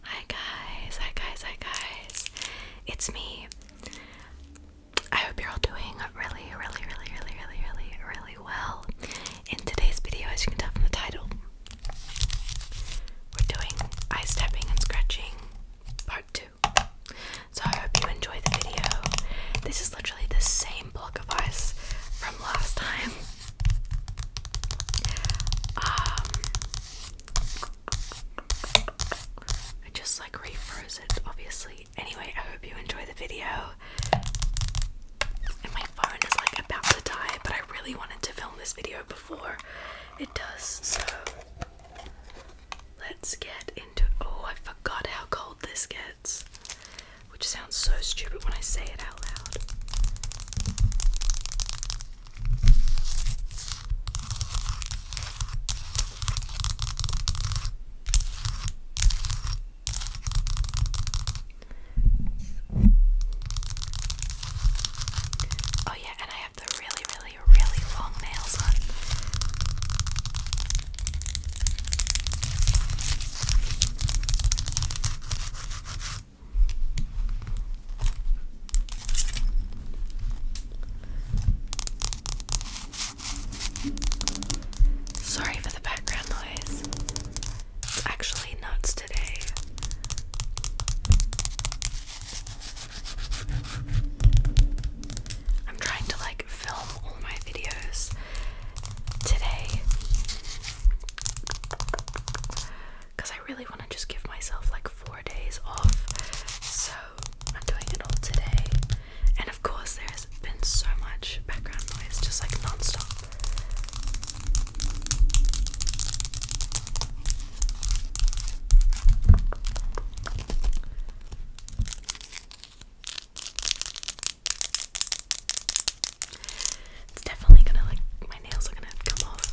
Hi guys, hi guys, hi guys. It's me. I hope you're all doing really, really, really, really, really, really, really well. In today's video, as you can tell from the title, we're doing eye stepping and scratching part two. So I hope you enjoy the video. This literally the same block of ice from last time. Um, I just like refroze it, obviously. Anyway, I hope you enjoy the video. my phone is like about to die, but I really wanted to film this video before it does, so let's get in oh I forgot how cold this gets. Which sounds so stupid when I say it out loud. Oh, yeah, and I have the really, really, really long nails on. Sorry for the background noise. It's actually nuts today. I'm trying to like film all my videos today because I really want to just give myself like four days off. So I'm doing it all today. And of course, there has been so much background noise, just like non stop. It's definitely gonna like my nails are gonna come off.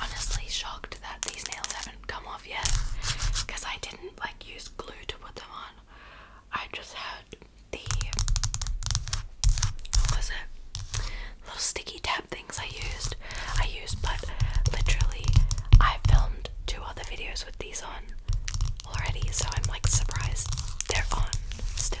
Honestly, shocked that these nails haven't come off yet because I didn't like use glue to put them on. I just had the was it? Little sticky tab things I used. I used, but literally, I filmed two other videos with these on already, so I'm like surprised they're on still.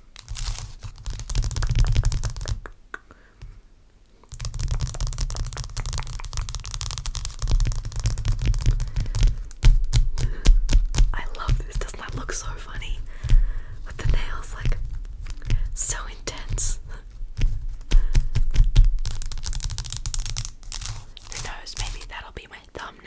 I love this. Doesn't that look so funny? With the nails, like, so intense. Who knows? Maybe that'll be my thumbnail.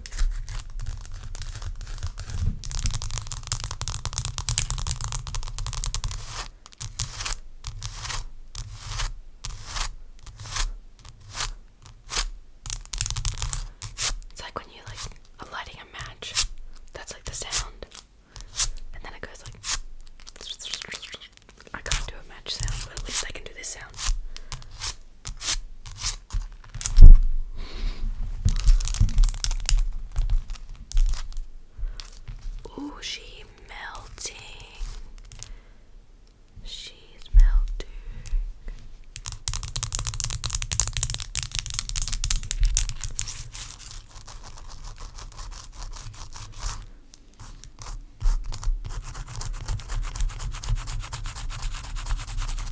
It's like when you like lighting a match. That's like the sound. And then it goes like I can't do a match sound, but at least I can do this sound. Oh, she melting. She's melting.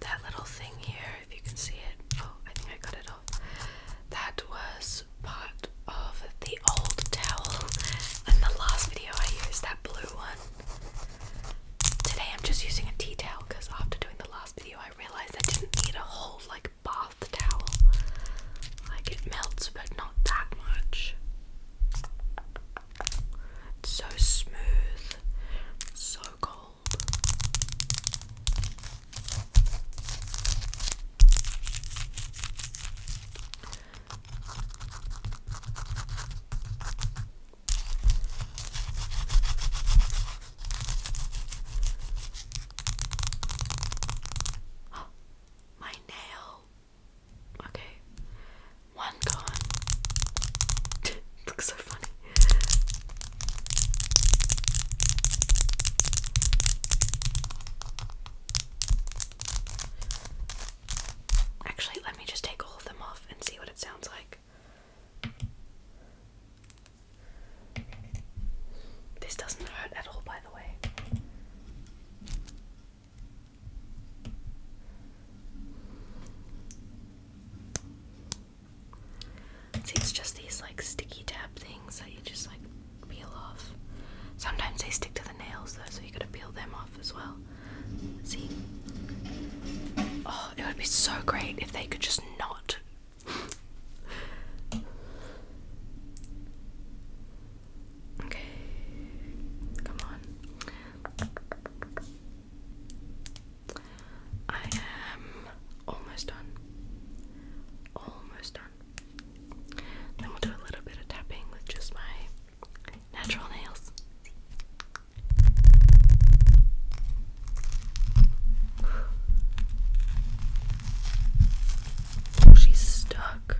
That little thing here, if you can see it. Oh, I think I cut it off. That was part of the old towel in the last video I used, that blue one. Today I'm just using a tea towel because after doing the last video I realized I didn't need a whole like bar off the towel. Like it melts, but not that much. It's so smooth, so cold. Oh, my nail. Okay. One gone. Looks so funny. Actually, let me just take all of them off and see what it sounds like. This doesn't hurt at all, by the way. See, it's just these like sticky tab things that you just like peel off. Sometimes they stick to the nails though, so you gotta peel them off as well. See? Oh, it would be so great if they could just not okay, come on. I am almost done. Almost done. Then we'll do a little bit of tapping with just my natural nails. Oh, she's stuck.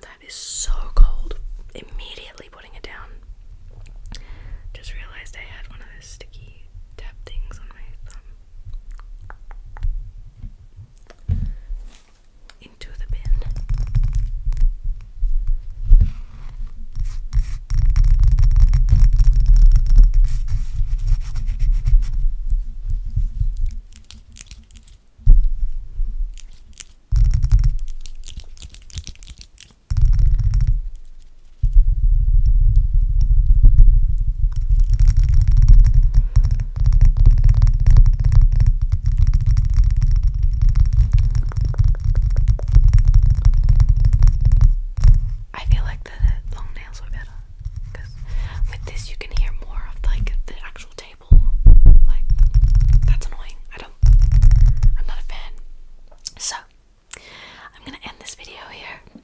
That is so cold. Immediately putting it down. Just realized I had one of those sticky tap things on my thumb into the bin. I feel like the long nails were better because with this you can hear more of like the actual table. Like that's annoying. I don't. I'm not a fan. So I'm gonna end this video here.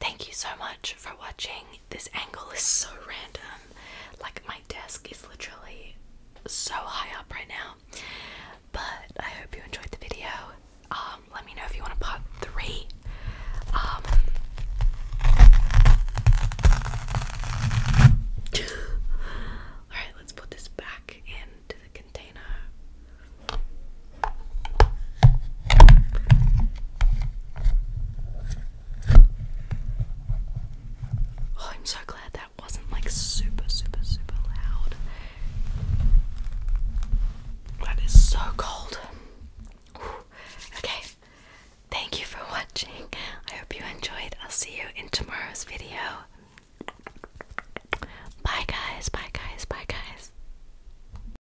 Thank you so much for watching. This angle is so random. Like, my desk is literally so high up right now. But I hope you enjoyed the video. Um, let me know if you want part three. Um, Alright, let's put this back into the container. Oh, I'm so glad that wasn't like super, super, super loud. That is so cold. Okay, thank you for watching. I hope you enjoyed. I'll see you in tomorrow's video. Bye, guys. Bye, guys. Bye, guys.